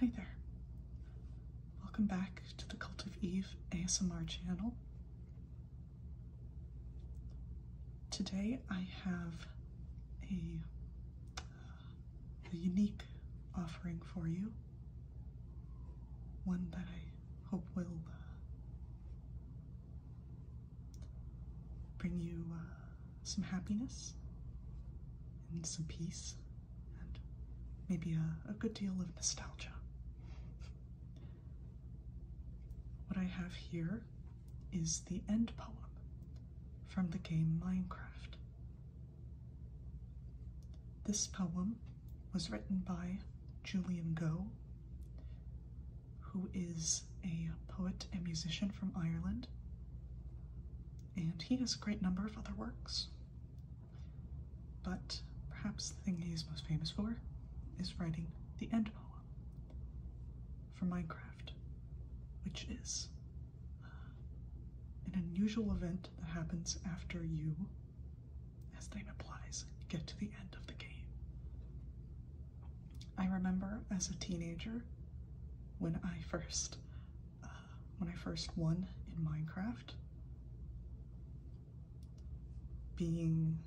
Hi there. Welcome back to the Cult of Eve ASMR channel. Today I have uh, a, unique offering for you. One that I hope will bring you uh, some happiness and some peace and maybe a good deal of nostalgia. What I have here is the end poem from the game Minecraft. This poem was written by Julian Go who is a poet and musician from Ireland, and he has a great number of other works. But perhaps the thing he is most famous for is writing the end poem for Minecraft, which is uh, an unusual event that happens after you, as the name implies, get to the end of the game. I remember as a teenager when I first uh, when I first won in Minecraft being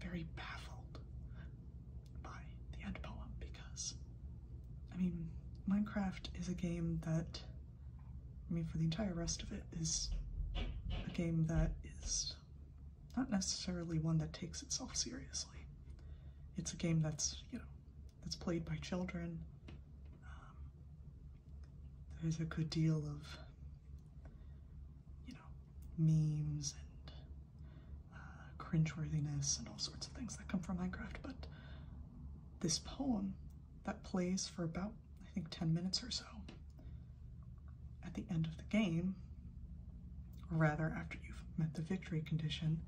very baffled by the end poem because I mean Minecraft is a game that I mean for the entire rest of it is a game that is not necessarily one that takes itself seriously. It's a game that's, you know, that's played by children. Um, there's a good deal of, you know, memes and uh, cringeworthiness and all sorts of things that come from Minecraft, but this poem that plays for about, I think, 10 minutes or so at the end of the game, rather after you've met the victory condition,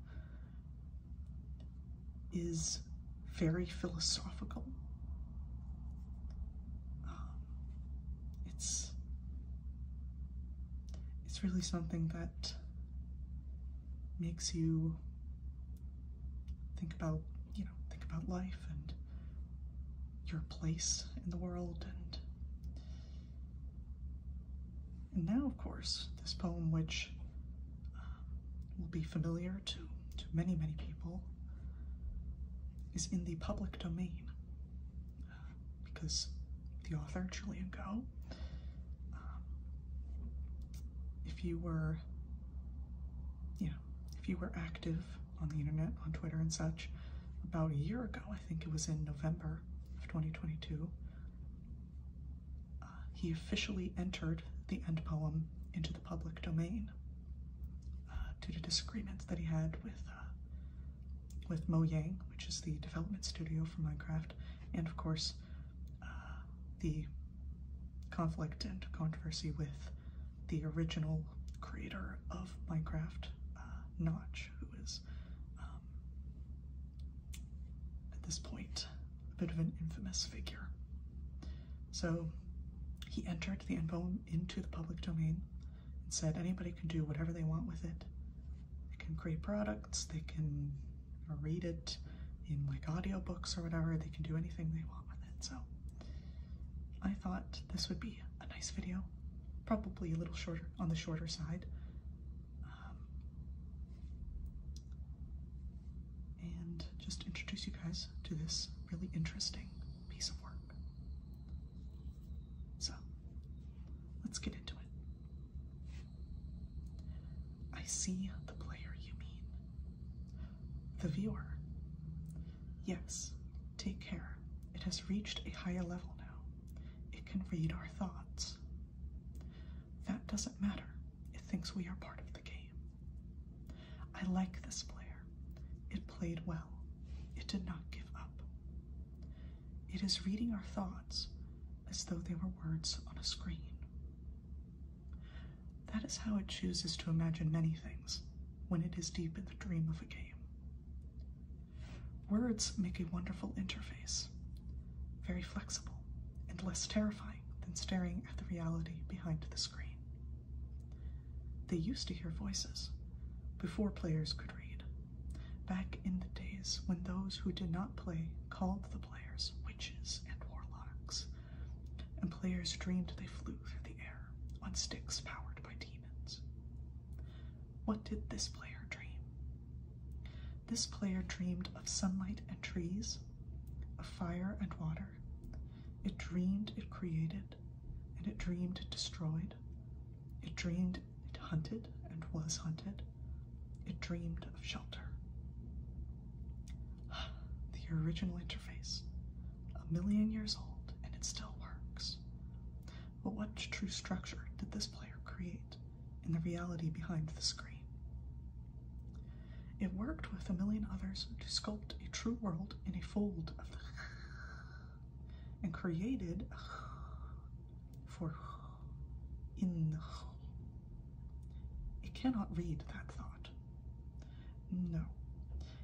is very philosophical. Um, it's it's really something that makes you think about you know think about life and your place in the world and and now, of course, this poem, which um, will be familiar to, to many, many people, is in the public domain because the author, Julian Go, um, if you were, you know, if you were active on the internet, on Twitter and such, about a year ago, I think it was in November of 2022, uh, he officially entered the end poem into the public domain uh, due to disagreements that he had with uh, with Mojang, which is the development studio for Minecraft, and of course the conflict and controversy with the original creator of Minecraft, Notch, who is um, at this point a bit of an infamous figure. So he entered the info into the public domain and said anybody can do whatever they want with it. They can create products, they can read it in like audiobooks or whatever, they can do anything they want with it. So I thought this would be a nice video, probably a little shorter on the shorter side. Um, and just introduce you guys to this really interesting piece of work. So, let's get into it. I see the player you mean. The viewer. Yes, Take care. It has reached a higher level now. It can read our thoughts. That doesn't matter. It thinks we are part of the game. I like this player. It played well. It did not give up. It is reading our thoughts as though they were words on a screen. That is how it chooses to imagine many things when it is deep in the dream of a game. Words make a wonderful interface, very flexible and less terrifying than staring at the reality behind the screen. They used to hear voices before players could read, back in the days when those who did not play called the players witches and warlocks, and players dreamed they flew through the air on sticks powered by demons. What did this player dream? This player dreamed of sunlight and trees, of fire and water. It dreamed it created, and it dreamed it destroyed. It dreamed it hunted and was hunted. It dreamed of shelter. the original interface a million years old, and it still works. But what true structure did this player create in the reality behind the screen? It worked with a million others to sculpt a true world in a fold of the and created for in the. it cannot read that thought. No,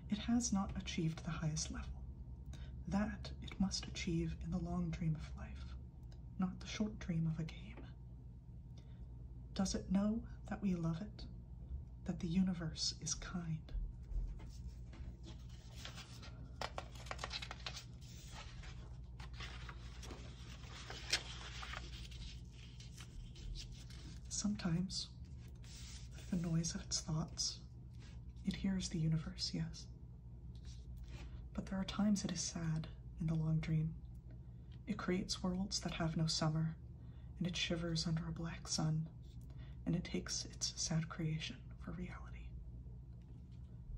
it has not achieved the highest level. That it must achieve in the long dream of life, not the short dream of a game. Does it know that we love it? That the universe is kind? Sometimes the noise of its thoughts. It hears the universe, yes. But there are times it is sad in the long dream. It creates worlds that have no summer, and it shivers under a black sun, and it takes its sad creation for reality.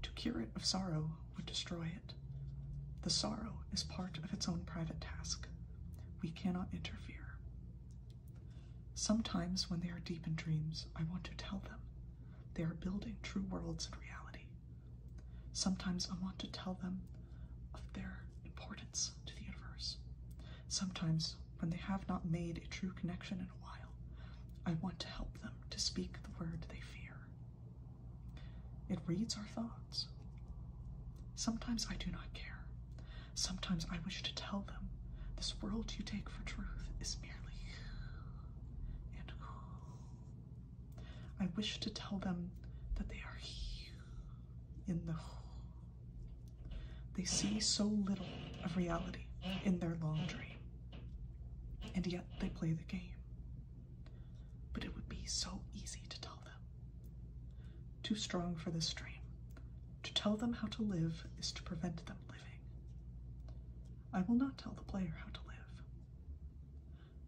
To cure it of sorrow would destroy it. The sorrow is part of its own private task. We cannot interfere. Sometimes, when they are deep in dreams, I want to tell them they are building true worlds in reality. Sometimes I want to tell them of their importance to the universe. Sometimes, when they have not made a true connection in a while, I want to help them to speak the word they fear. It reads our thoughts. Sometimes I do not care. Sometimes I wish to tell them this world you take for truth is merely you and I wish to tell them that they are you, in the who. They see so little of reality in their long dream, and yet they play the game. But it would be so easy to tell them. Too strong for this stream. To tell them how to live is to prevent them living. I will not tell the player how to live.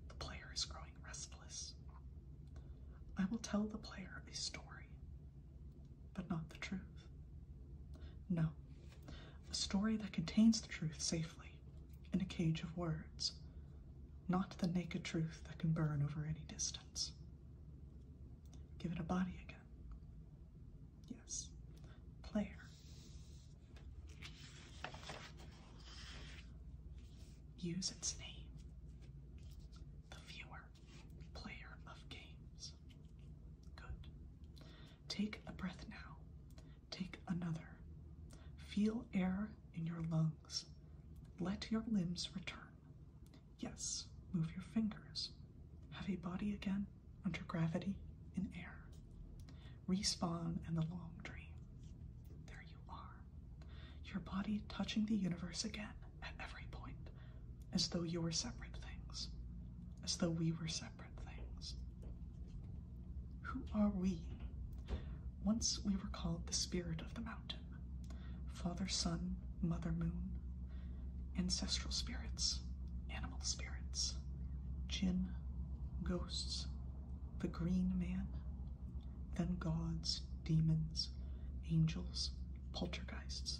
The player is growing restless. I will tell the player a story, but not the truth. No, a story that contains the truth safely in a cage of words, not the naked truth that can burn over any distance. Give it a body again. Yes. Player. Use its name. The viewer. Player of games. Good. Take a breath now. Take another. Feel air in your lungs. Let your limbs return. Yes, move your fingers. Have a body again under gravity in air. Respawn in the long dream. There you are. Your body touching the universe again at every point, as though you were separate things, as though we were separate things. Who are we? Once we were called the Spirit of the Mountain, Father, son, Mother, Moon, Ancestral Spirits, Animal Spirits, Jinn, Ghosts, the Green Man, then Gods, Demons, Angels, Poltergeists,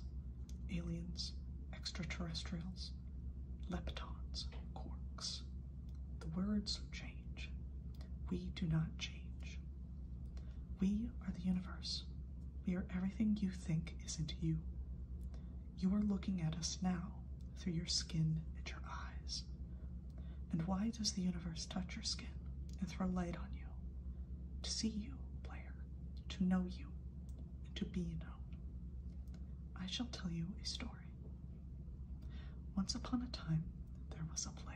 Aliens, Extraterrestrials, Leptons, corks. The words change. We do not change. We are the universe. We are everything you think isn't you. You are looking at us now through your skin and your eyes. And why does the universe touch your skin and throw light on you? To see you, player, to know you, and to be known. I shall tell you a story. Once upon a time, there was a player.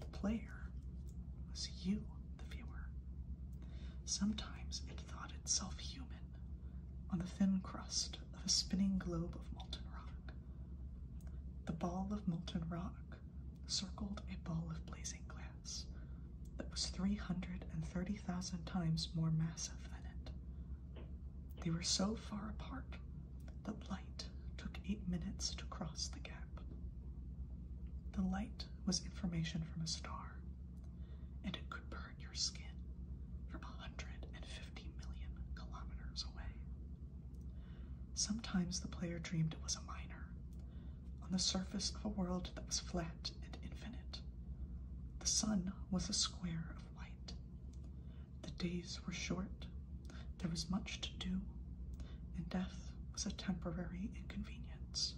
The player was you, the viewer. Sometimes it thought itself human on the thin crust of a spinning globe of molten rock. The ball of molten rock circled a ball of blazing glass that was 330,000 times more massive than it. They were so far apart that light took eight minutes to cross the gap. The light was information from a star, and it could burn your skin from 150 million kilometers away. Sometimes the player dreamed it was a miner, on the surface of a world that was flat and infinite. The sun was a square of white, the days were short, there was much to do, and death was a temporary inconvenience.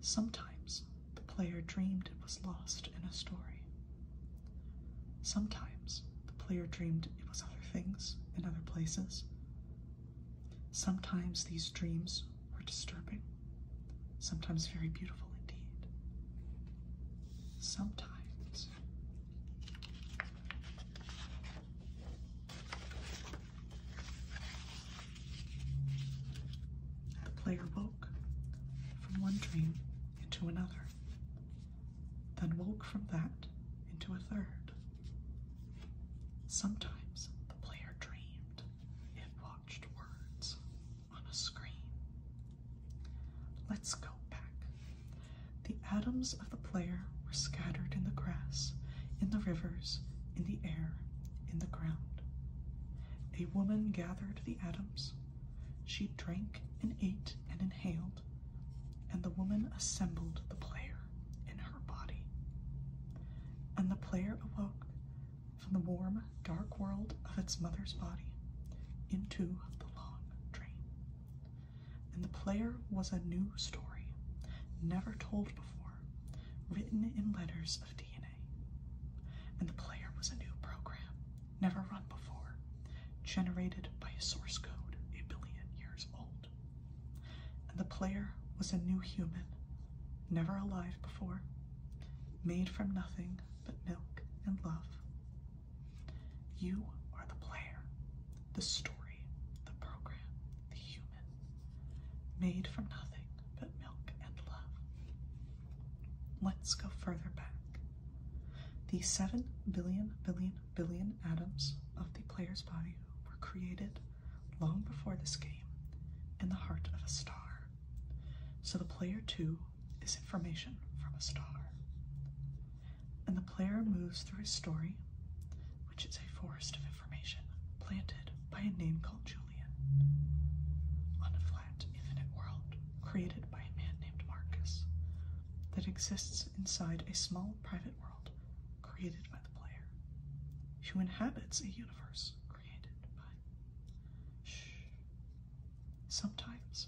Sometimes the player dreamed it was lost in a story. Sometimes the player dreamed it was other things in other places. Sometimes these dreams were disturbing, sometimes very beautiful indeed. Sometimes the player woke from one dream into another, then woke from that into a third. Sometimes the player dreamed and watched words on a screen. Let's go back. The atoms of the player were scattered in the grass, in the rivers, in the air, in the ground. A woman gathered the atoms. She drank and ate and inhaled, and the woman assembled the player in her body. And the player awoke from the warm dark world of its mother's body into the long dream. And the player was a new story, never told before, written in letters of DNA. And the player was a new program, never run before, generated by a source code a billion years old. And the player was a new human, never alive before, made from nothing but milk and love. You are the player, the story, the program, the human, made from nothing but milk and love. Let's go further back. The 7 billion billion billion atoms of the player's body were created long before this game in the heart of a star. So the player 2 is information from a star. And the player moves through a story, which is a forest of information planted by a name called Julian, on a flat, infinite world created by a man named Marcus that exists inside a small private world created by the player, who inhabits a universe created by. Sometimes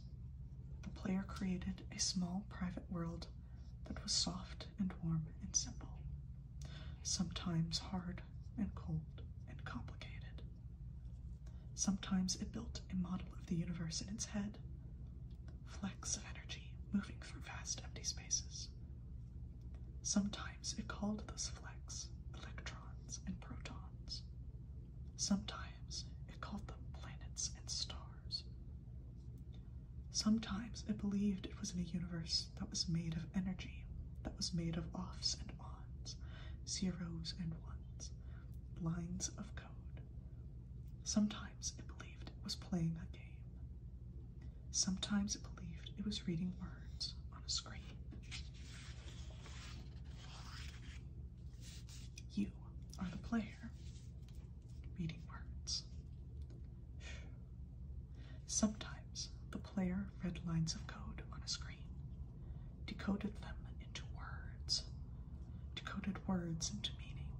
the player created a small private world that was soft and warm and simple, sometimes hard and cold and complicated. Sometimes it built a model of the universe in its head, flecks of energy moving through vast empty spaces. Sometimes it called those flecks electrons and protons, Sometimes it called them planets and stars. Sometimes it believed it was in a universe that was made of energy, that was made of offs and ons, zeros and ones, lines of code. Sometimes it believed it was playing a game. Sometimes it believed it was reading words on a screen. You are the player reading words. Sometimes the player read lines of code on a screen, decoded them into words, decoded words into meaning,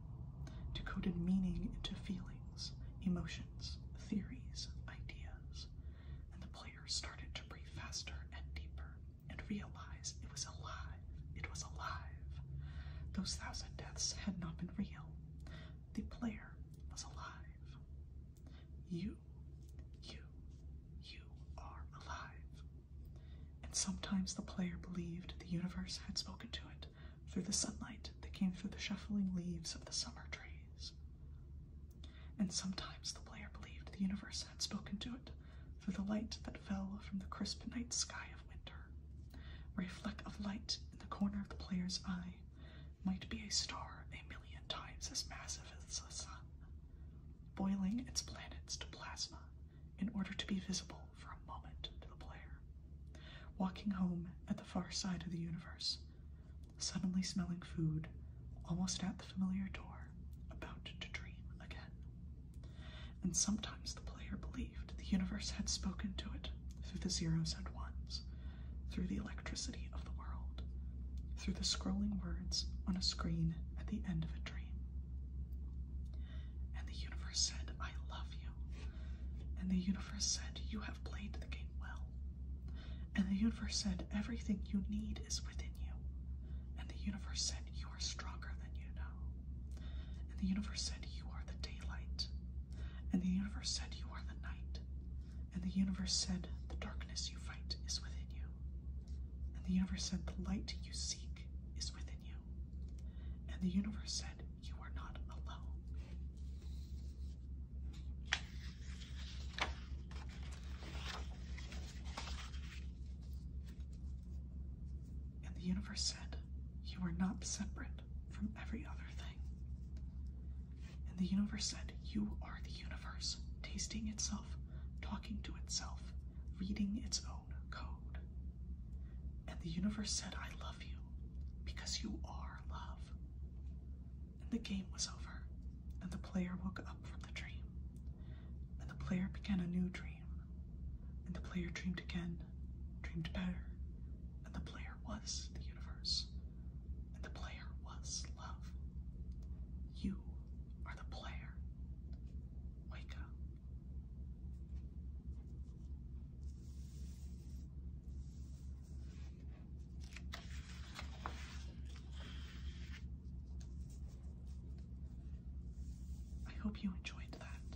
decoded meaning into feelings, emotions, theories, ideas, and the player started to breathe faster and deeper and realize it was alive. It was alive. Those thousand deaths had not been real. The player was alive. You, you, you are alive. And sometimes the player believed the universe had spoken to it through the sunlight that came through the shuffling leaves of the summer trees. And sometimes the player believed the universe had spoken to it through the light that fell from the crisp night sky of winter, where a fleck of light in the corner of the player's eye might be a star a million times as massive as the sun, boiling its planets to plasma in order to be visible for a moment to the player. Walking home at the far side of the universe, suddenly smelling food, almost at the familiar door, about to dream again. And sometimes the player believed the universe had spoken to it through the zeros and ones, through the electricity of the world, through the scrolling words on a screen at the end of a dream. And the universe said, I love you. And the universe said, You have played the game well. And the universe said, Everything you need is within you. And the universe said, You are stronger than you know. And the universe said, You are the daylight. And the universe said, You are the night. And the universe said, The darkness you fight is within you. And the universe said, The light you seek is within you. And the universe said, You are not alone. And the universe said, You are not separate from every other thing. And the universe said, You are the universe, tasting itself, talking to itself, reading its own code. And the universe said, I love you because you are love and the game was over, and the player woke up from the dream. And the player began a new dream, and the player dreamed again, dreamed better, and the player was the universe, and the player was love. You are the player. Wake up. I hope you enjoyed that.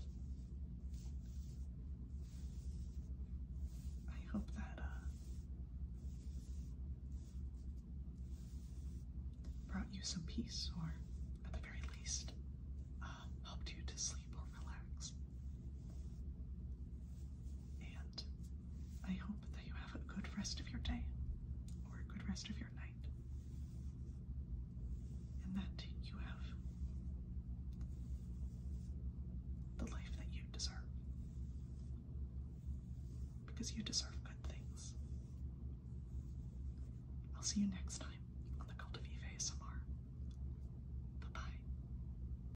I hope that uh, brought you some peace, or at the very least, uh, helped you to sleep or relax. And I hope that you have a good rest of your day or a good rest of your night. And that you have the life that you deserve. Because you deserve good things. I'll see you next time on the Cult of Eve S.M.R. Bye bye.